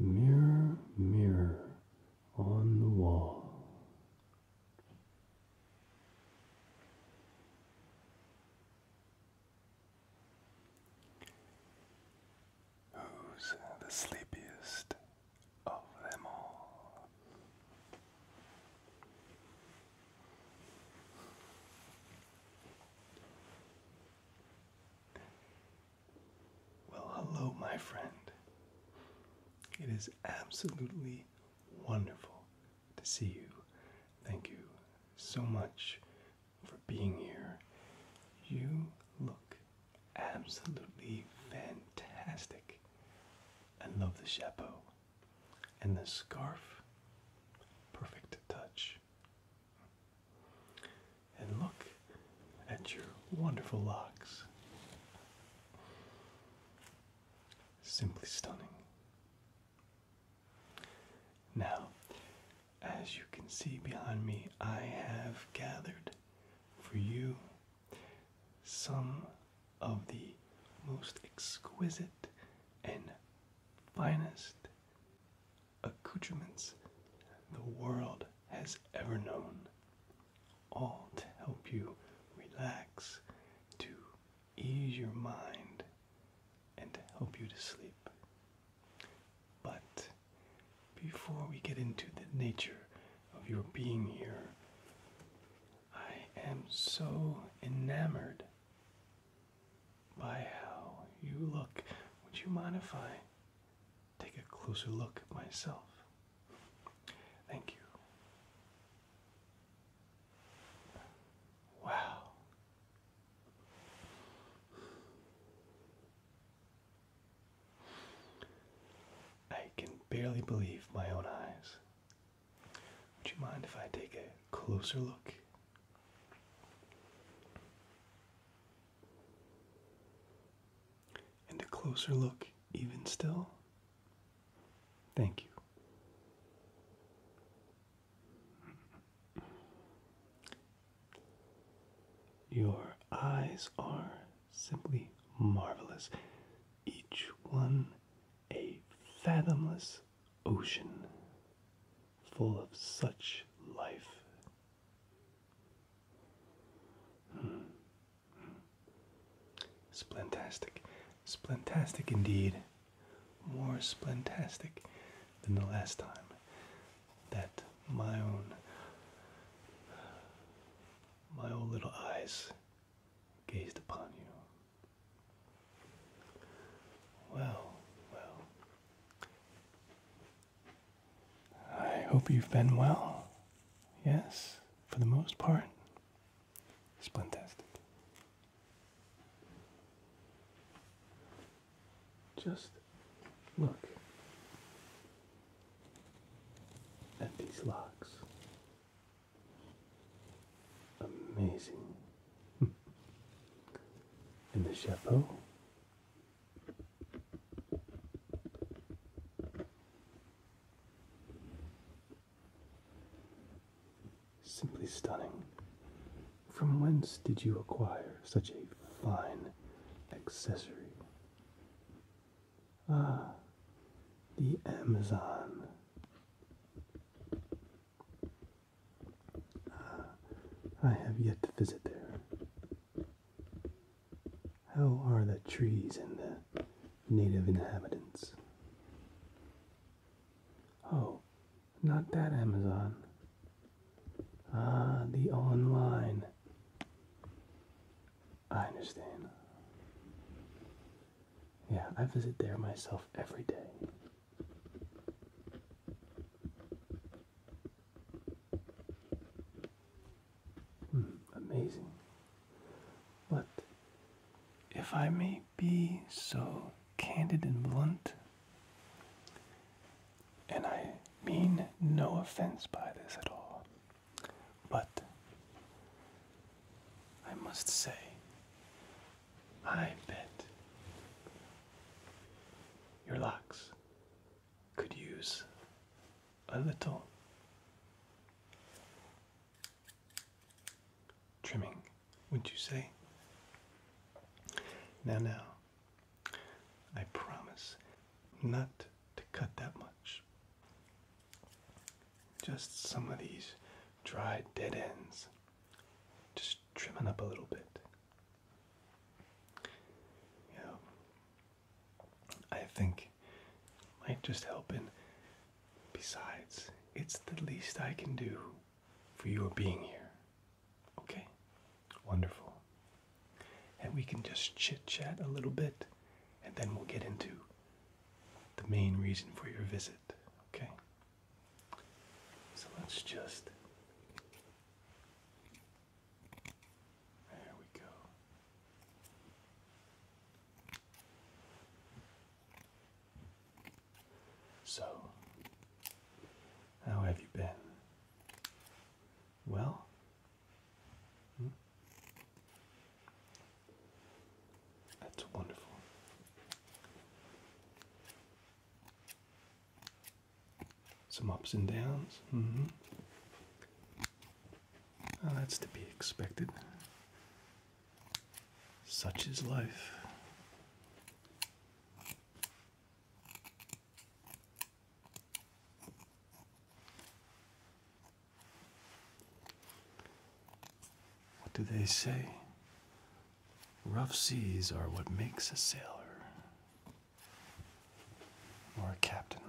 Mirror, mirror on the wall. Who's the sleepiest of them all? Well, hello, my friend. It is absolutely wonderful to see you. Thank you so much for being here. You look absolutely fantastic. I love the chapeau and the scarf. Perfect touch. And look at your wonderful locks. Simply stunning. Now, as you can see behind me, I have gathered for you some of the most exquisite and finest accoutrements the world has ever known all to help you relax, to ease your mind, and to help you to sleep. But before we get into the nature of your being here, I am so enamored by how you look. Would you mind if I take a closer look at myself? Thank you. Wow. I can barely believe my own eyes. Would you mind if I take a closer look? and a closer look even still. Thank you. Your eyes are simply marvelous, each one a fathomless ocean full of such life. Hmm. Splentastic. Splentastic indeed. More splentastic than the last time that my own my own little eyes gazed upon you. Well, well. I hope you've been well. Yes for the most part, splintastic. Just look at these locks. Amazing. and the chapeau. Simply stunning. From whence did you acquire such a fine accessory? Ah, the Amazon. Ah, I have yet to visit there. How are the trees and the native inhabitants? Oh, not that Amazon. Ah, the online. I understand. Yeah, I visit there myself every day. Hmm, amazing. But if I may be so candid and blunt, and I mean no offense by this at all, but I must say, I bet your locks could use a little trimming, wouldn't you say? Now, now, I promise not to cut that much. Just some of these dry dead ends, just trimming up a little bit. You I think might just help. And besides, it's the least I can do for your being here. Okay? Wonderful. And we can just chit chat a little bit, and then we'll get into the main reason for your visit. Okay? So let's just. There we go. So, how have you been? Well? Hmm? That's wonderful. Some ups and downs. -hmm. Oh, that's to be expected. Such is life. What do they say? Rough seas are what makes a sailor or a captain.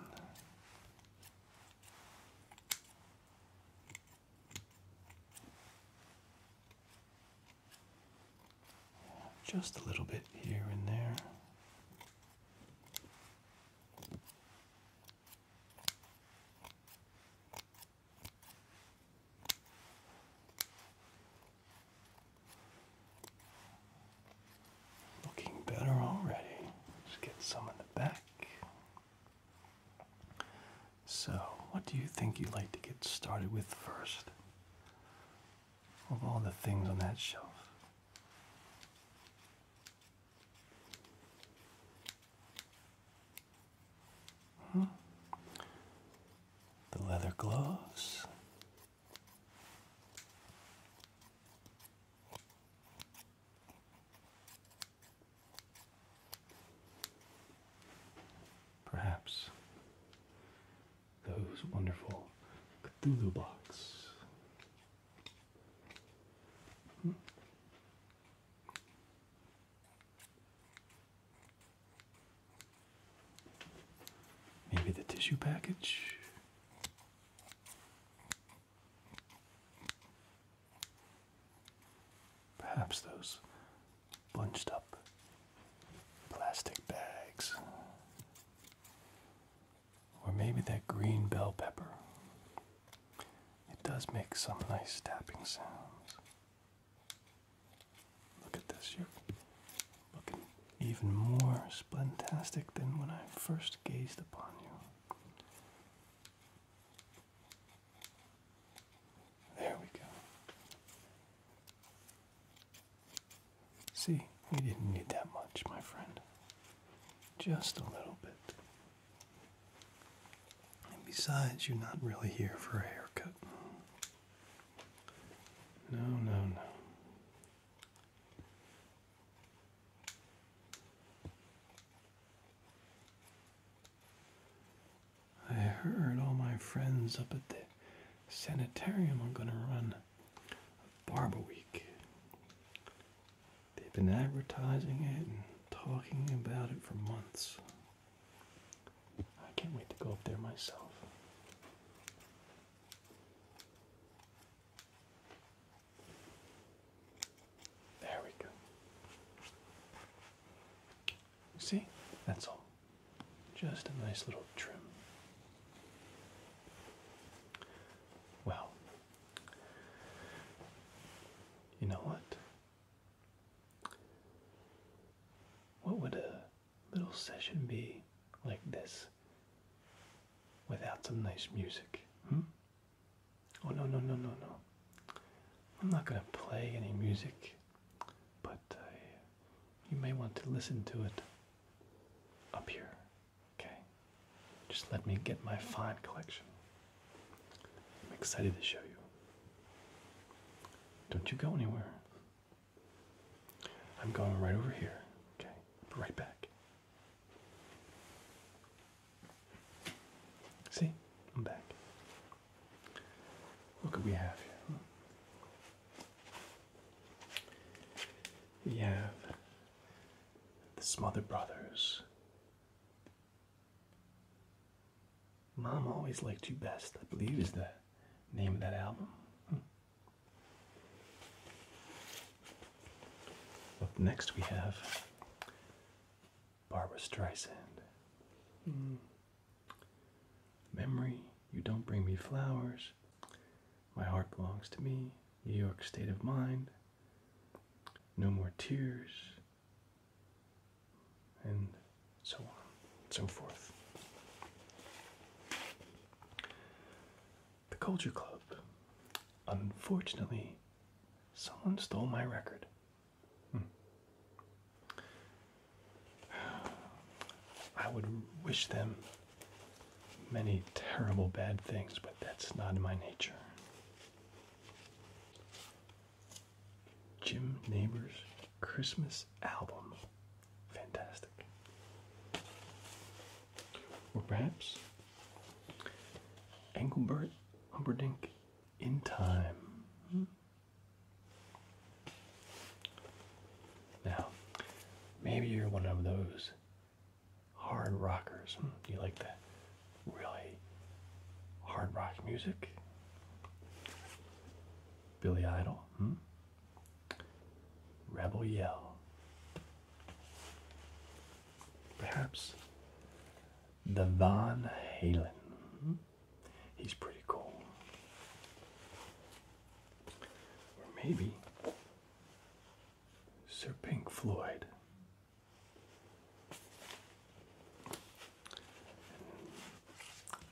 Just a little bit here and there. Looking better already. Let's get some in the back. So, what do you think you'd like to get started with first? Of all the things on that shelf. Hmm? The leather gloves. Perhaps those wonderful Cthulhu box. Hmm. Maybe the tissue package. Perhaps those bunched up plastic bags. Or maybe that green bell pepper. It does make some nice tapping sounds. Look at this, you're looking even more splentastic than when I first gazed upon you. There we go. See, we didn't need that much, my friend. Just a little bit. And besides, you're not really here for a haircut. No, no, no. I heard all my friends up at the sanitarium are going to run a Barber Week. They've been advertising it and talking about it for months. I can't wait to go up there myself. There we go. See? That's all. Just a nice little trim. Well, you know what? What would a little session be like this without some nice music? Hmm? Oh, no, no, no, no, no. I'm not going to play any music, but uh, you may want to listen to it up here. Okay? Just let me get my fine collection. I'm excited to show you. Don't you go anywhere. I'm going right over here. Okay? right back. See, I'm back. Look what we have here. We have the Smother Brothers. Mom always liked you best, I believe, is the name of that album. Hmm. Up next, we have Barbara Streisand. Hmm. Memory, you don't bring me flowers. My heart belongs to me. New York state of mind. No more tears. And so on and so forth. The Culture Club. Unfortunately, someone stole my record. Hmm. I would wish them many terrible bad things, but that's not in my nature. Jim Neighbors Christmas album. Fantastic. Or perhaps Engelbert Humperdinck in time. Now, maybe you're one of those hard rockers. Hmm, you like the really hard rock music? Billy Idol, hmm? Rebel Yell. Perhaps the Van Halen. He's pretty cool. Or maybe Sir Pink Floyd.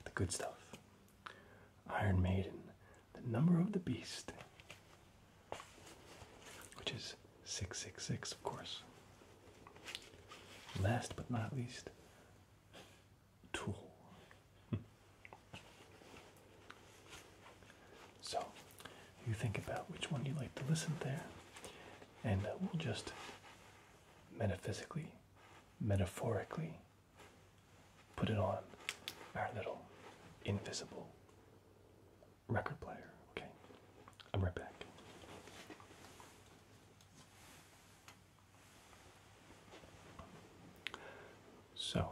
The good stuff. Iron Maiden, the number of the beast, which is 666, of course. Last but not least, Tool. so, you think about which one you like to listen there, and uh, we'll just metaphysically, metaphorically put it on our little invisible record player, okay? I'm right back. So,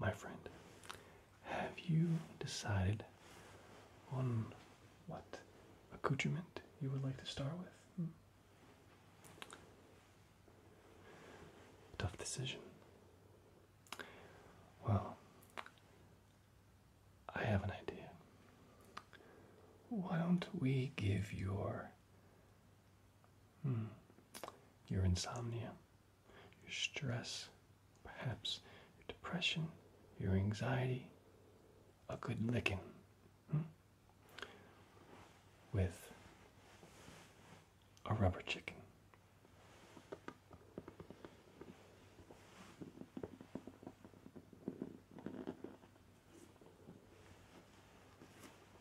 my friend, have you decided on what accoutrement you would like to start with? Hmm? Tough decision. Well, I have an idea. Why don't we give your hmm, your insomnia, your stress, perhaps your depression, your anxiety, a good licking hmm, with a rubber chicken?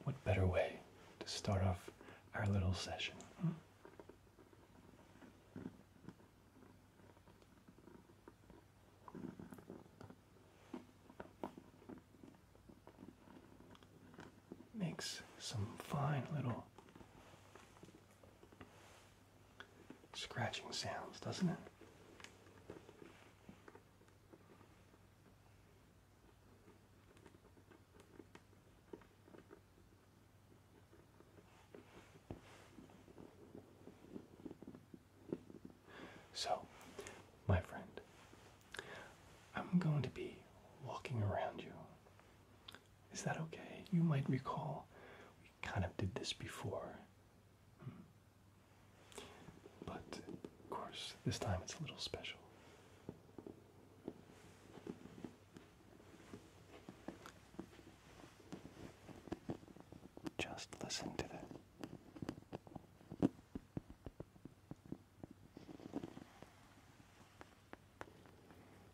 What better way to start off our little session? Makes some fine little scratching sounds, doesn't it? So, my friend, I'm going to be walking around you. Is that okay? You might recall we kind of did this before. Hmm. But of course, this time it's a little special. Just listen to that.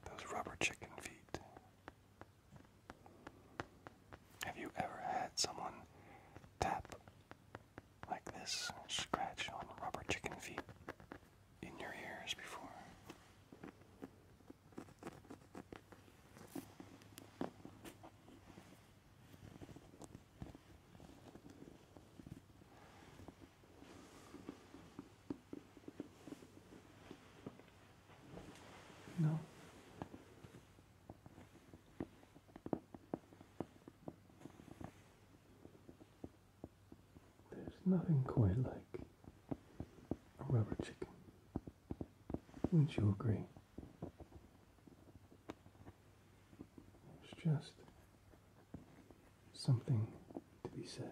Those rubber chicken feet have you ever had someone tap like this, scratch on rubber chicken feet in your ears before? No. There's nothing quite like a rubber chicken. Wouldn't you agree? There's just something to be said.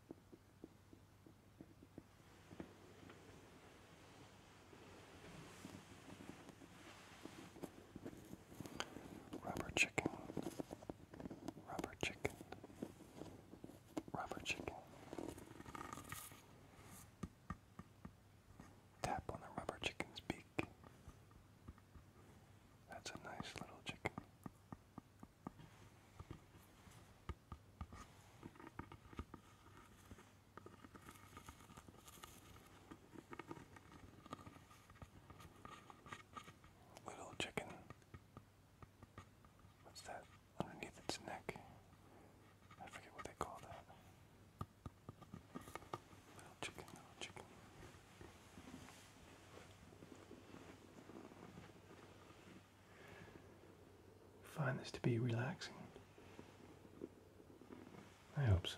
Rubber chicken, rubber chicken, rubber chicken. Tap on the rubber chicken's beak. That's a nice little chicken. Little chicken. What's that underneath its neck? I forget what they call that. Little chicken, little chicken find this to be relaxing. I hope so.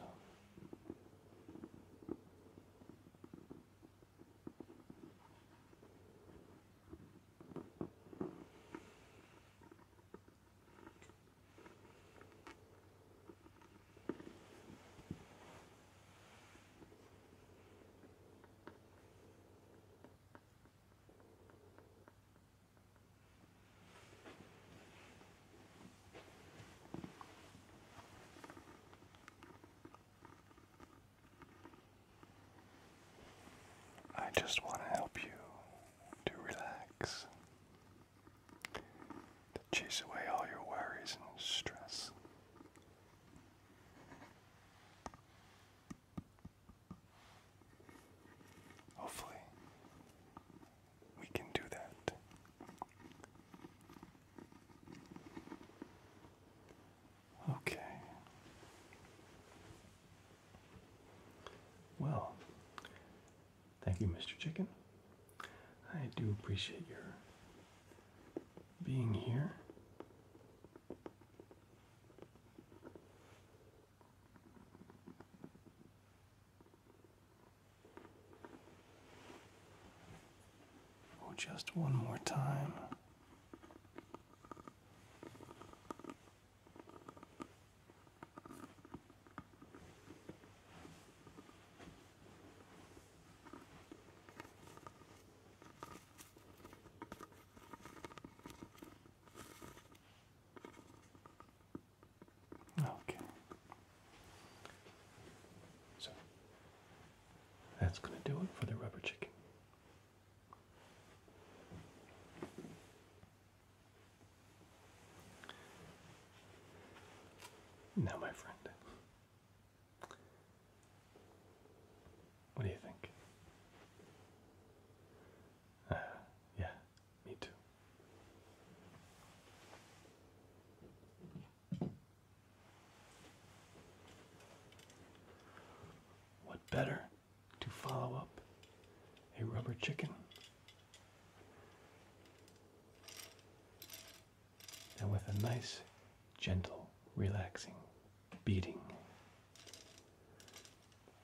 I just want to help you to relax, to chase away all your worries and stress. Hopefully, we can do that. Okay. Well, thank you, Mr. Chicken. I do appreciate your being here. Oh, just one more time. Okay. So that's going to do it for the rubber chicken. Now, my friend, what do you think? Uh, yeah, me too. What better to follow up a rubber chicken? And with a nice, gentle, relaxing beating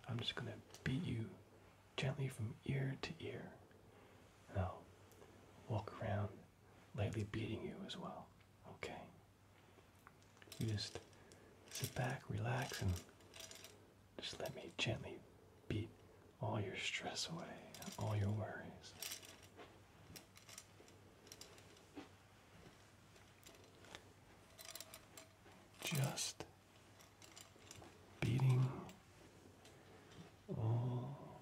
I'm just going to beat you gently from ear to ear. And I'll walk around lightly beating you as well. Okay? You just sit back, relax, and just let me gently beat all your stress away all your worries. Just beating all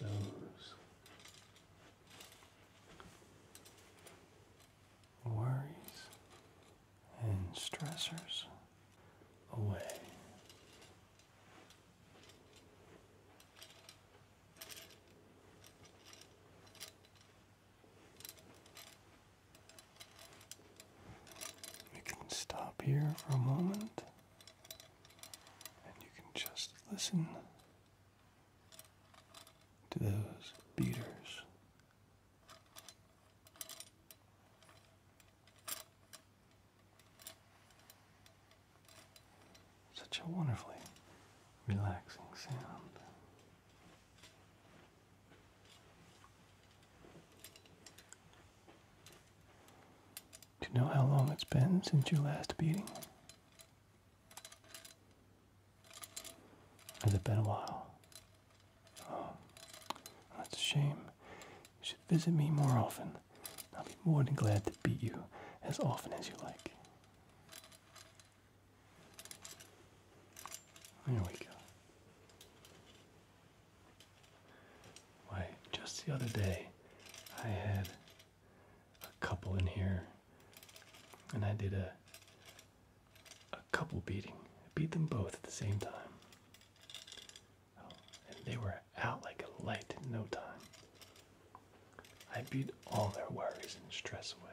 those worries and stressors away. We can stop here for a moment and you can just listen to those beaters. Such a wonderfully relaxing sound. Do you know how long it's been since your last beating? Has it been a while? Oh, that's a shame. You should visit me more often. I'll be more than glad to beat you as often as you like. There we go. Why, just the other day, I had a couple in here, and I did a a couple beating. beat them both at the same time. Oh, and they were out like a light in no time. I beat all their worries and stress away.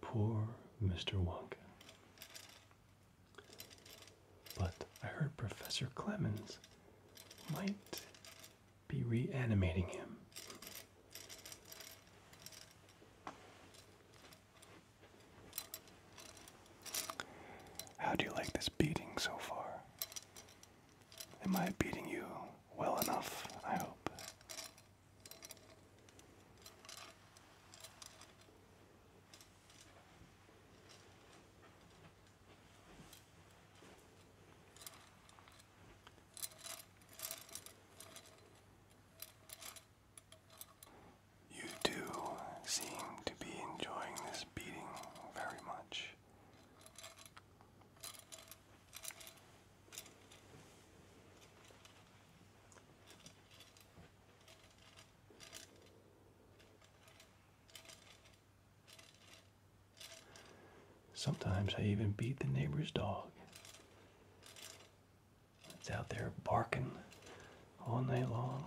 Poor Mr. Wonka. But I heard Professor Clemens might be reanimating him. How do you like this beating so far? Am I beating you well enough? I hope. You do seem to be enjoying this beating very much. Sometimes I even beat the neighbor's dog. It's out there barking all night long.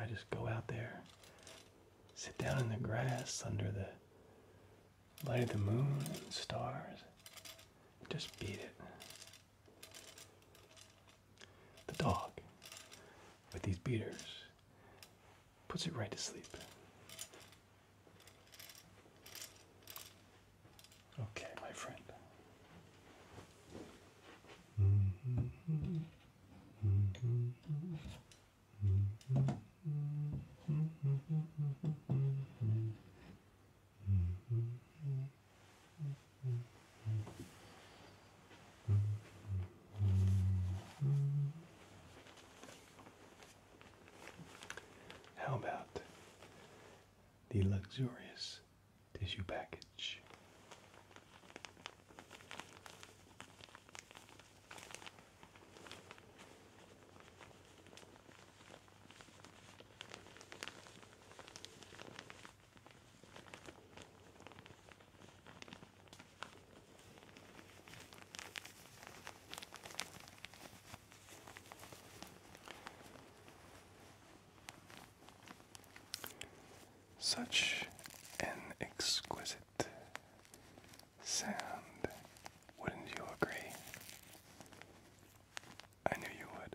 I just go out there, sit down in the grass under the light of the moon and stars. Just beat it. The dog with these beaters puts it right to sleep. Okay, my friend. How about the luxurious tissue package? Such an exquisite sound, wouldn't you agree? I knew you would.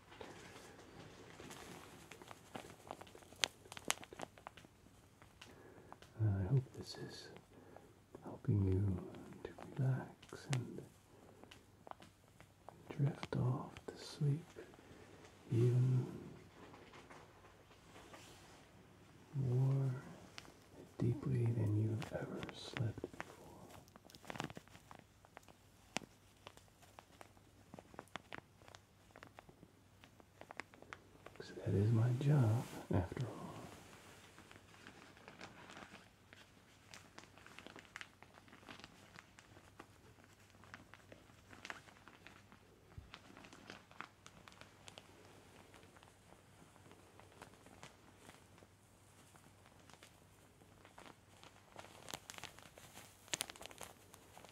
I hope this is helping you to relax and drift off to sleep even more deeply than you've ever slept before. Because that is my job, after all.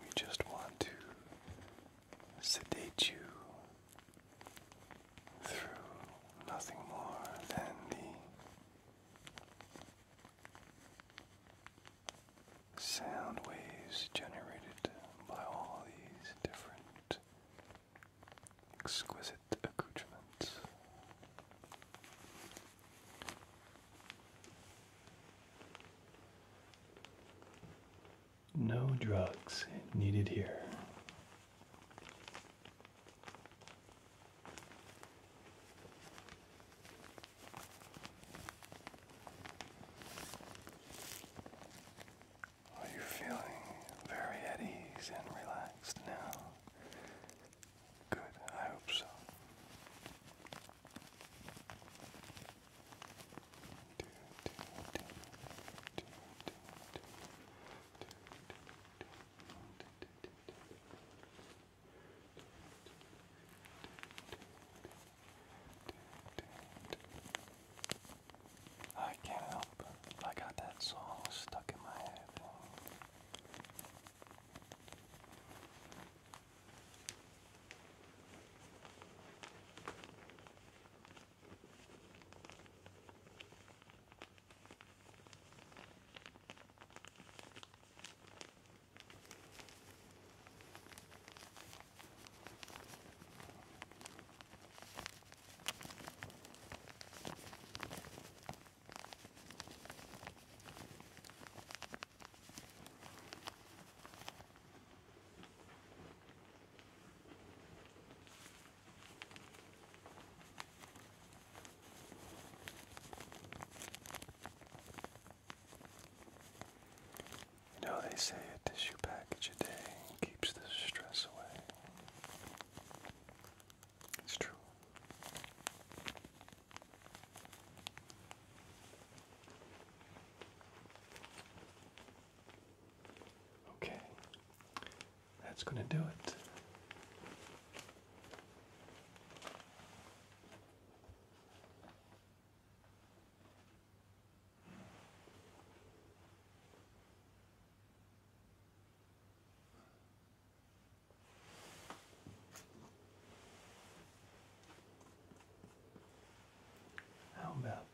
We just want to sedate you through nothing more than the sound waves generated by all these different exquisite accoutrements. No drugs needed here. Are you feeling very at ease and relaxed now? Good, I hope so. I can't help it. I got that song stuck in my head. You know, they say a tissue package a day keeps the stress away. It's true. Okay, that's going to do it. How about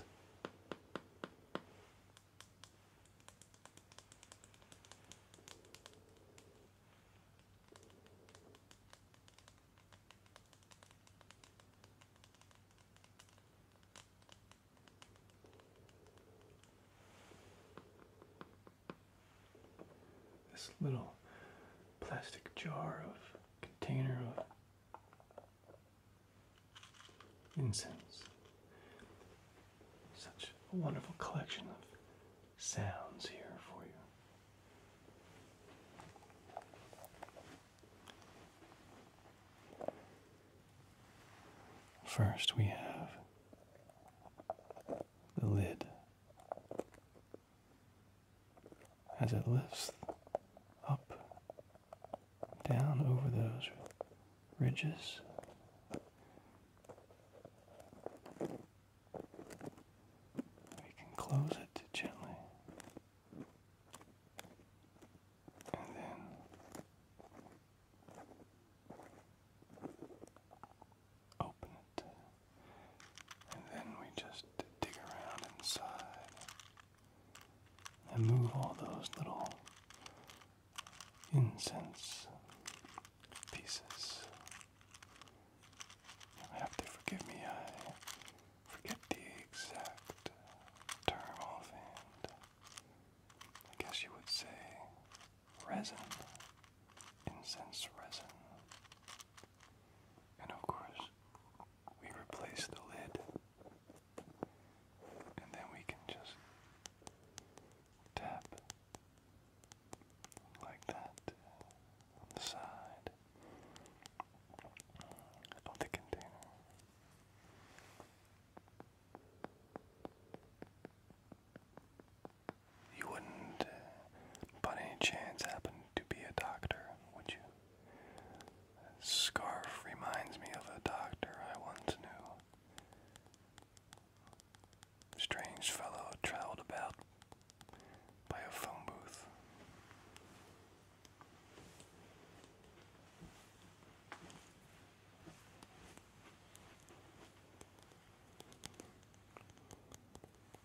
this little plastic jar of container of incense. Such a wonderful collection of sounds here for you. First, we have the lid. As it lifts up, down over those ridges, we can close it gently and then open it, and then we just dig around inside and move all those little incense pieces. you have to forgive me, I forget the exact term offhand. I guess you would say resin, incense resin. And of course, we replace the lid, and then we can just tap like that on the side of the container. You wouldn't, uh, by any chance, happen to be a doctor, would you? scarf reminds me of a doctor I once knew. Strange fellow traveled about by a phone booth.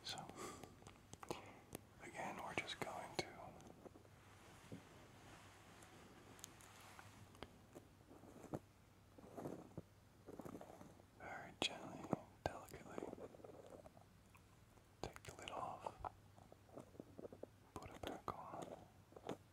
So, again, we're just going to very gently, delicately take the lid off, put it back on.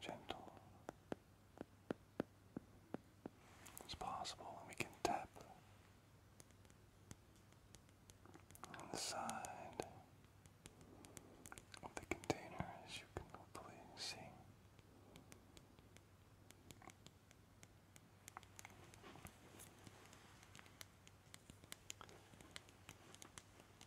gentle as possible, we can tap on the side of the container, as you can hopefully see.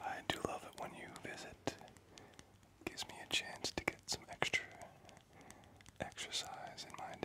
I do love it when you visit. Gives me a chance to get some extra exercise in my day.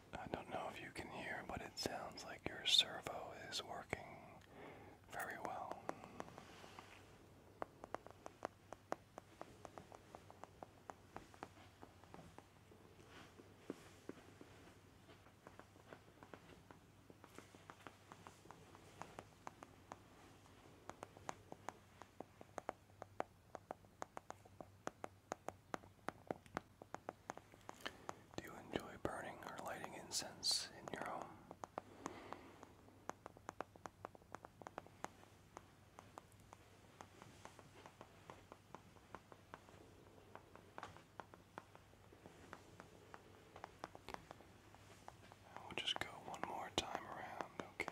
I don't know if you can hear, but it sounds like your servo is working very well. Do you enjoy burning or lighting incense in your home? We'll just go one more time around, okay?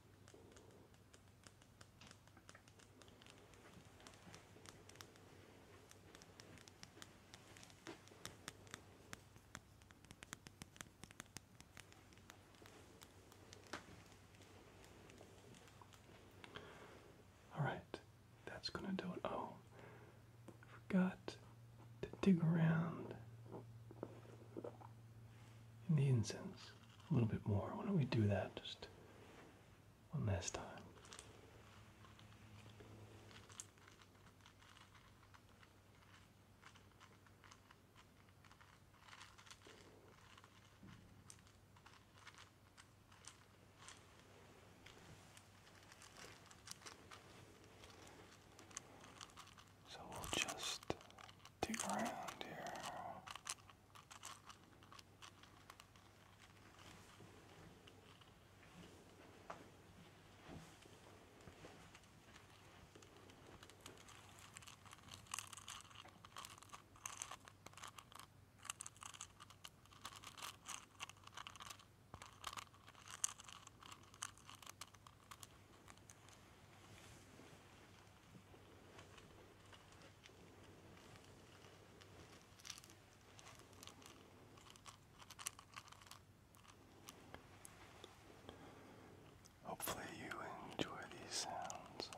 All right, that's going to do it. Oh, forgot to dig around in the incense a little bit more. Why don't we do that just one last time? So we'll just dig around here. Hopefully, you enjoy these sounds.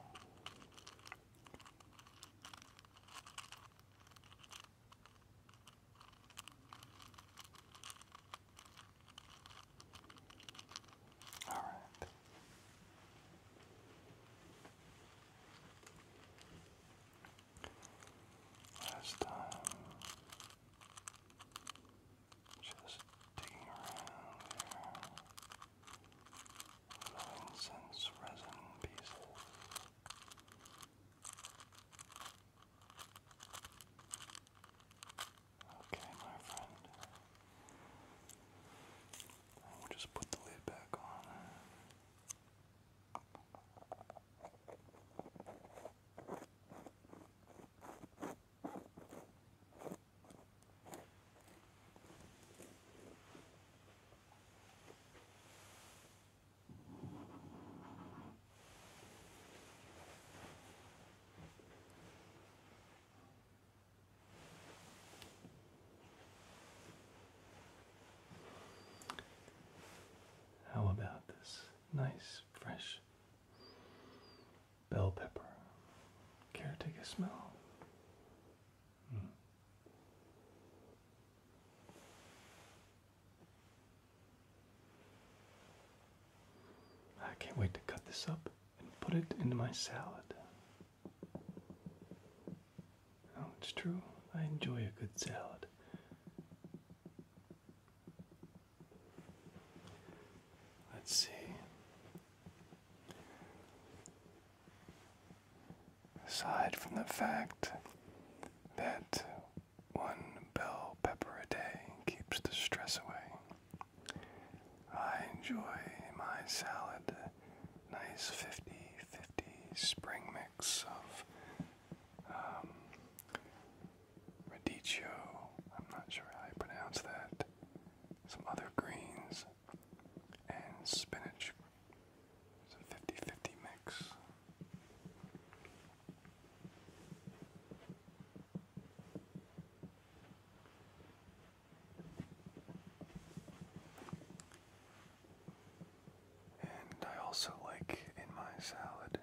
All right. Last time, just digging around there, little incense resin pieces. Okay, my friend. we'll just put the lid back on. How about this nice, fresh bell pepper? Care smell? Hmm. I can't wait to cut this up and put it into my salad. Now, it's true, I enjoy a good salad. Let's see. Aside from the fact that one bell pepper a day keeps the stress away, I enjoy my salad. Nice 50 50 spring mix of um, radicchio. I'm not sure how you pronounce that. Some other greens and spinach. It's a 50 mix. And I also like in my salad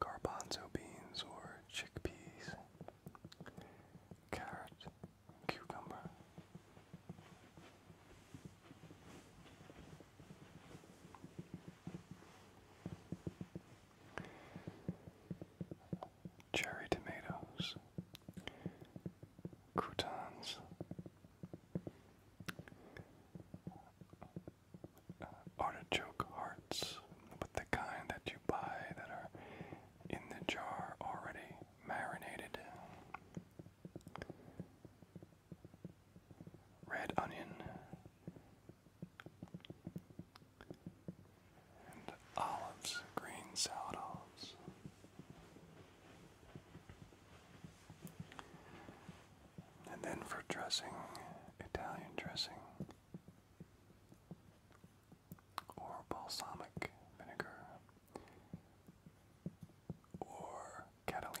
garbanzo beans or chickpeas, carrot, cucumber cherry tomatoes, croutons, uh, artichoke hearts, but the kind that you buy that are in the jar already marinated. Red onion, and olives, green salad olives. And then for dressing, Italian dressing or balsamic vinegar or Catalina.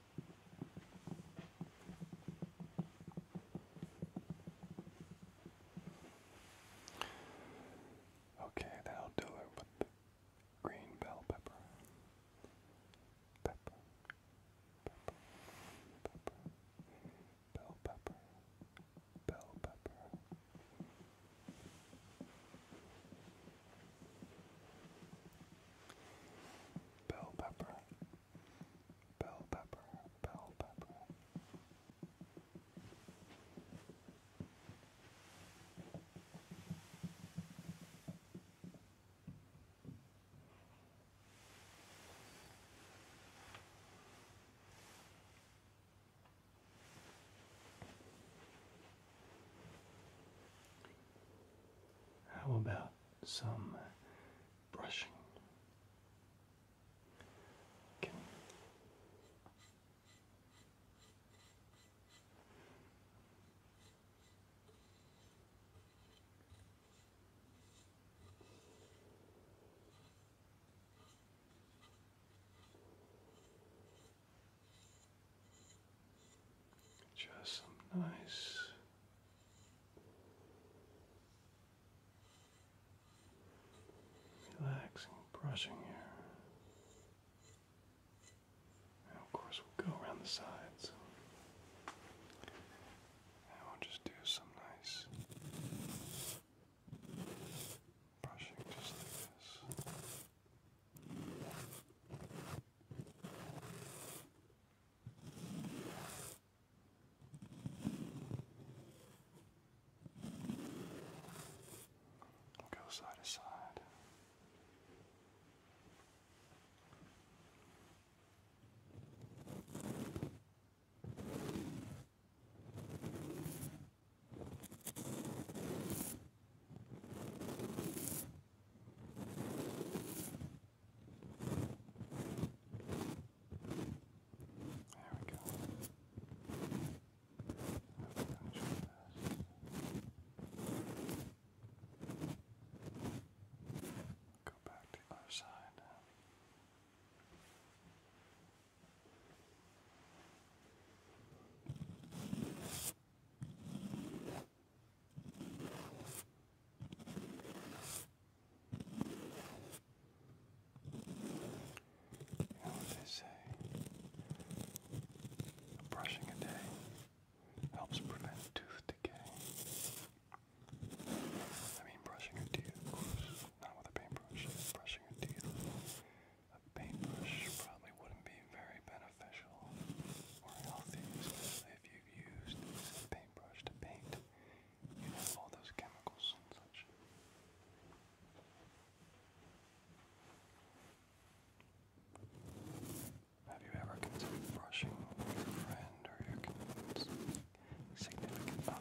Okay, that will do it with the green bell pepper. Pepper. Pepper. Pepper. Bell pepper. Bell pepper. Bell pepper bell pepper, bell pepper. How about some brushing. just nice Relaxing, brushing here. And of course, we'll go around the sides. And we'll just do some nice brushing just like this. We'll go side to side. Good. There we go. Go back to the other side. There they say? brushing a day helps prevent tooth decay. I mean, brushing your teeth, not with a paintbrush. Brushing your teeth, a paintbrush probably wouldn't be very beneficial or healthy, if you've used a paintbrush to paint you all those chemicals and such. Have you ever considered brushing your friend or your significant other?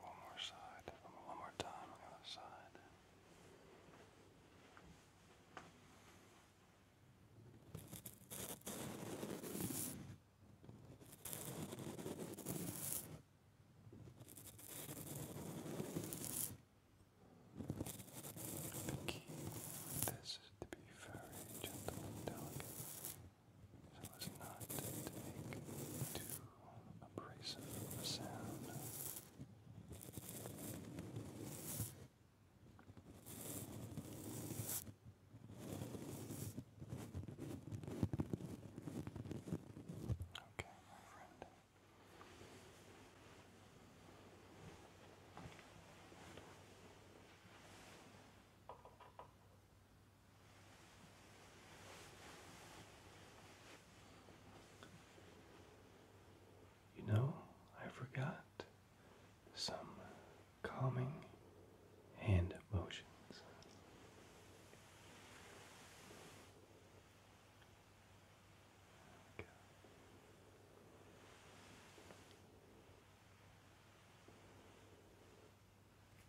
one more side. One more time on the other side. The key this is to be very gentle and delicate, so as not to take too abrasive sound. Okay, my friend. You know, I forgot some calming hand motions.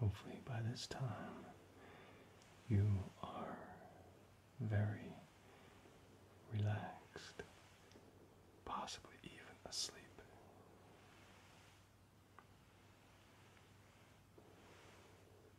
Hopefully, by this time, you are very relaxed, possibly even asleep.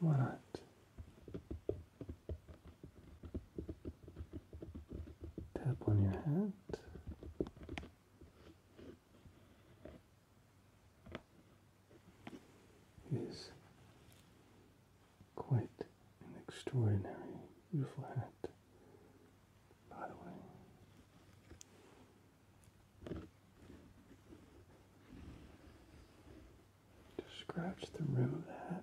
Why not? Tap on your hat. It is quite an extraordinary, beautiful hat, by the way. Just scratch the rim of that.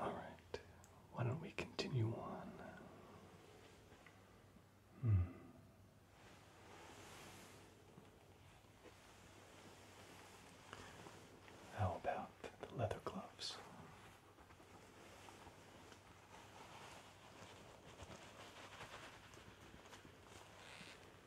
All right, why don't we continue on? Hmm. How about the leather gloves?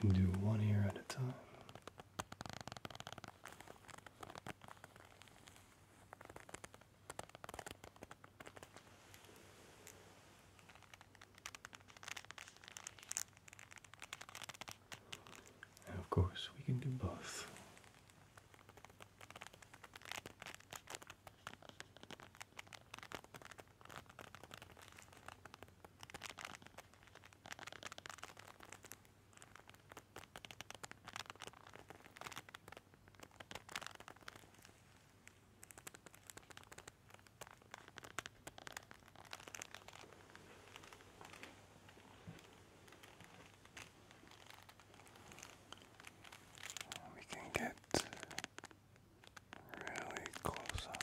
We can do one ear at a time. And of course, we can do both. We can get really close up.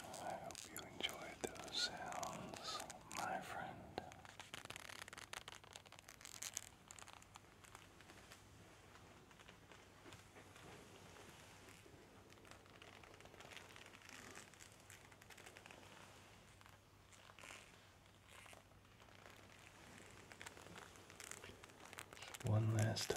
I hope you enjoyed those sounds, my friend. one last time.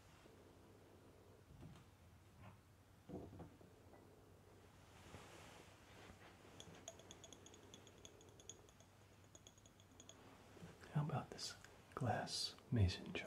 How about this glass mason jar?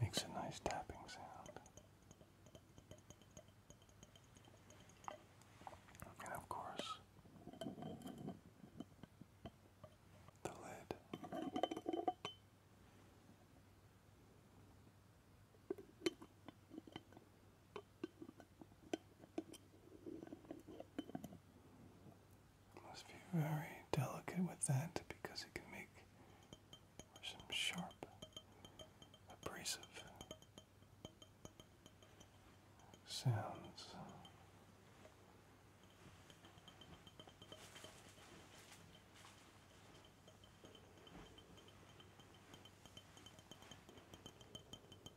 Makes a nice tapping sound. And of course, the lid. Must be very delicate with that because it can make some sharp abrasive sounds.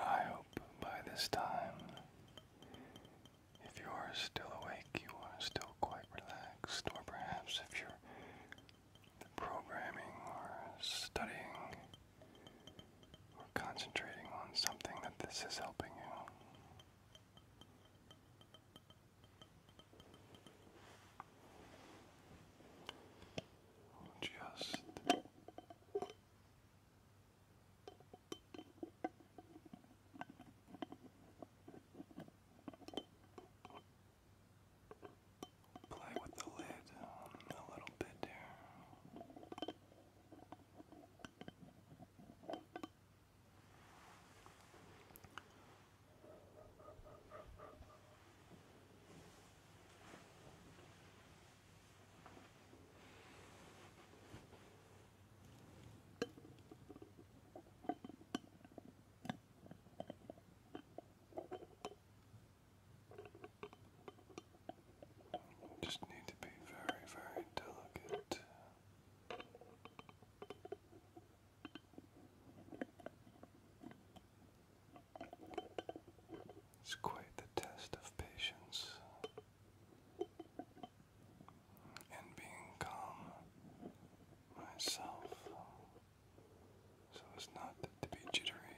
I hope by this time, if you are still awake, you are still quite relaxed, or perhaps if you're programming or studying or concentrating on something that this is helping you. Just play with the lid um, a little bit there. Just need to be very, very delicate. It's quite the test of patience and being calm myself so it's not to be jittery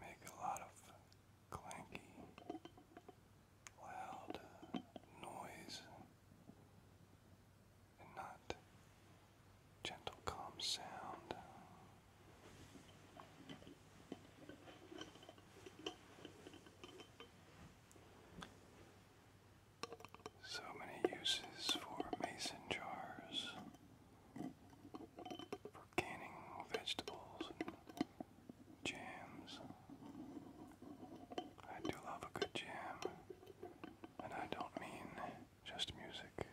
make a lot of clanky, loud noise and not gentle, calm sound. So many uses for mason jars, for canning vegetables jams. I do love a good jam, and I don't mean just music.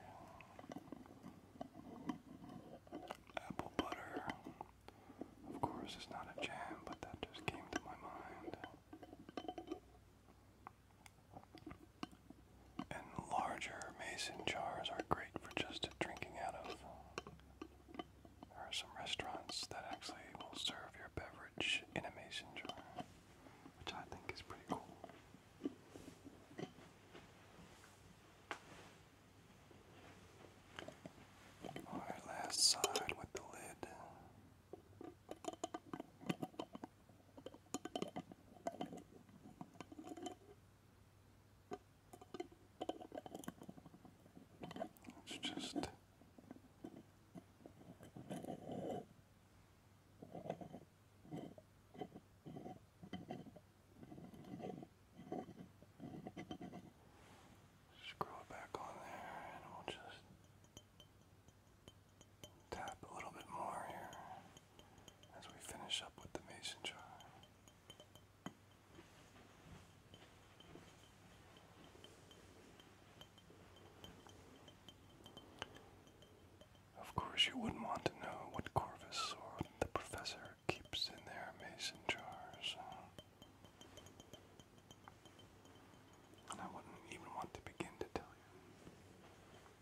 Apple butter, of course, is not a jam, but that just came to my mind and larger mason jars are great for just drinking out of. There are some restaurants that actually will serve your beverage in a mason jar, which I think is pretty cool. Alright, last side with the lid. It's just screw it back on there and we'll just Tap a little bit more here as we finish up with the mason jar. Of course, you wouldn't want to know what Corvus or the professor keeps in their mason jars. And I wouldn't even want to begin to tell you.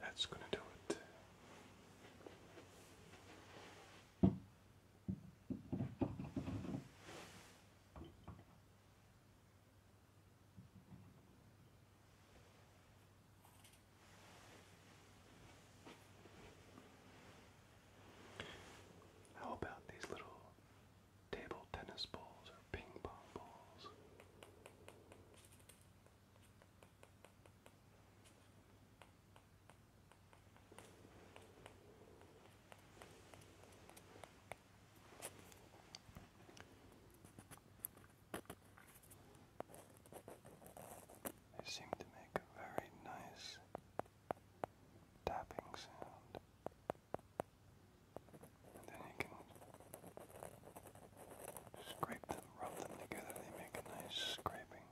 That's going to do it. How about these little table tennis balls or ping pong balls. They seem to make a very nice tapping sound. then you can scrape them, rub them together, they make a nice scraping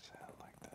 sound like that.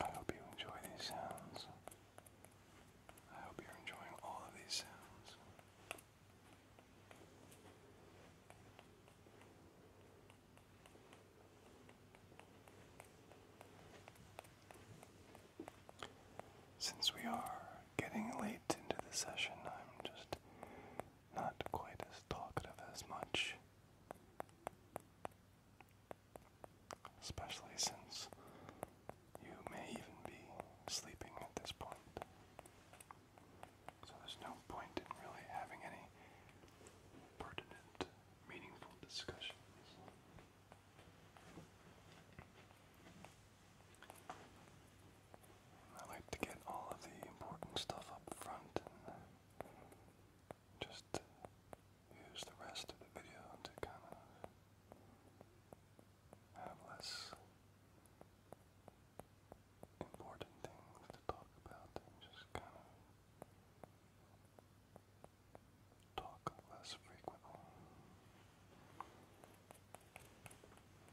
I hope you enjoy these sounds. I hope you're enjoying all of these sounds. Since we are getting late into the session, I'm just not quite as talkative as much. Especially since you may even be sleeping at this point. So there's no point in really having any pertinent, meaningful discussions. I like to get all of the important stuff up front and uh, just use the rest of the video to kind of have less important things to talk about and just kind of talk less frequently.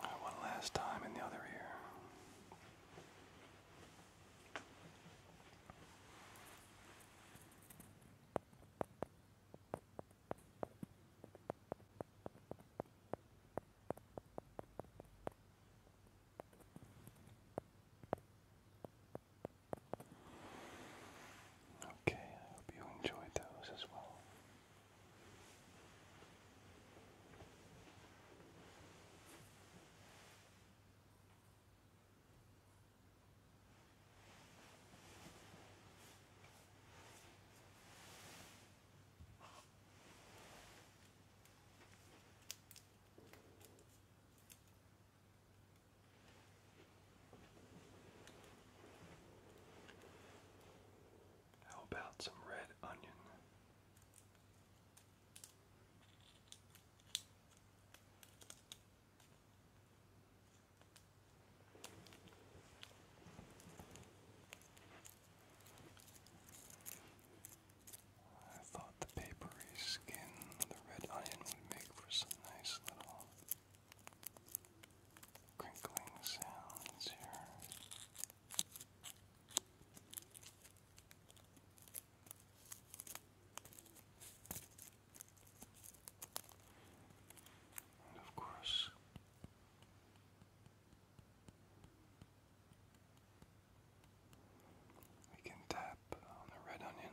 Right, one last time in the other ear. Okay, I hope you enjoyed those as well. How about some red onion? I thought the papery skin of the red onion would make for some nice little crinkling sounds here. And of course, we can tap on the red onion.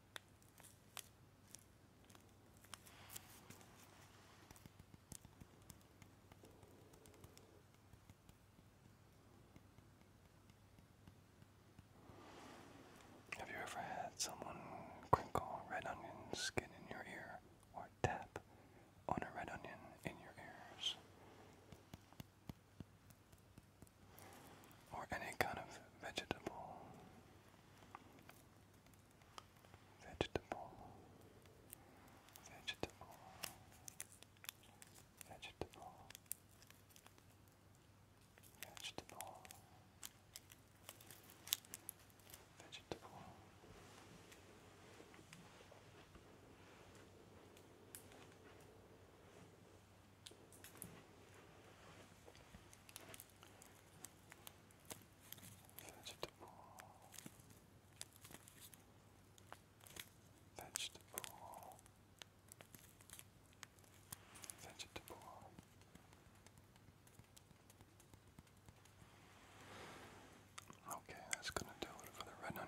Have you ever had someone crinkle red onion skin in your ear or tap on a red onion in your ears? or any kind of vegetable. Vegetable. Vegetable. Vegetable. Vegetable. Vegetable. Vegetable. Vegetable. Vegetable. Okay, that's gonna do it for the red onion.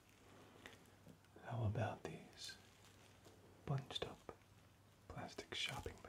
How about these bunched up plastic shopping bags?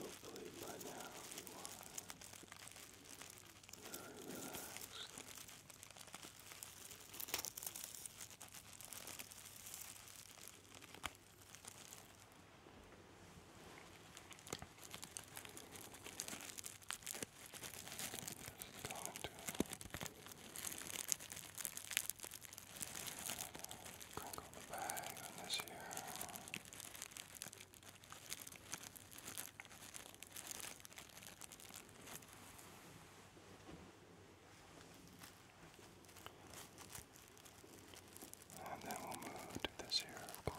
Hopefully by now you are very relaxed. Just going to Crinkle the And then we'll move to this here, of course.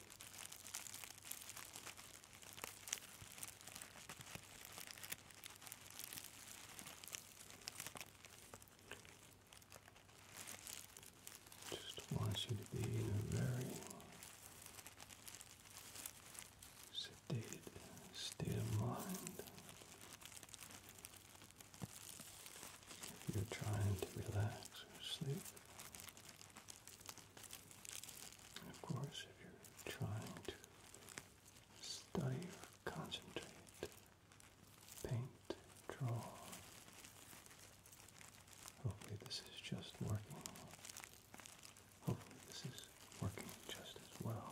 Just wants you to be in a very sedated state of mind. If you're trying to relax or sleep, of course, if you're trying to study or concentrate, paint, draw, hopefully this is just working. Hopefully this is working just as well.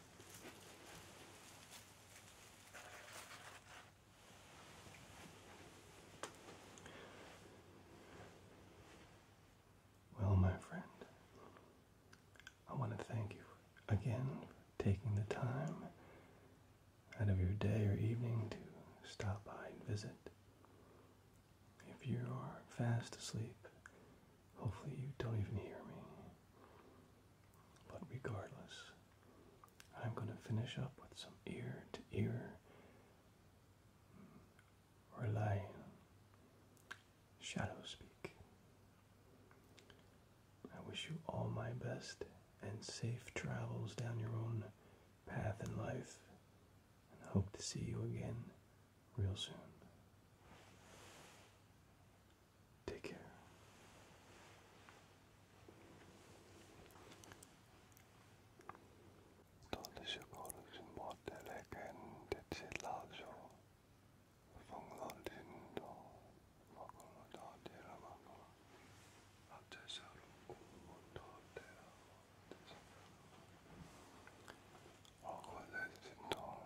Well, my friend, I want to thank you again for taking the time out of your day or evening to stop by and visit. If you are fast asleep, Hopefully you don't even hear me. But regardless, I'm going to finish up with some ear to ear Or lie. shadow speak. I wish you all my best and safe travels down your own path in life and hope to see you again real soon. Take care. 떨리실 거르신 모텔에겐 대치라죠. 성선진도 먹으러 어디라 먹어. 앞제사로 공부도 대라. 어거래진도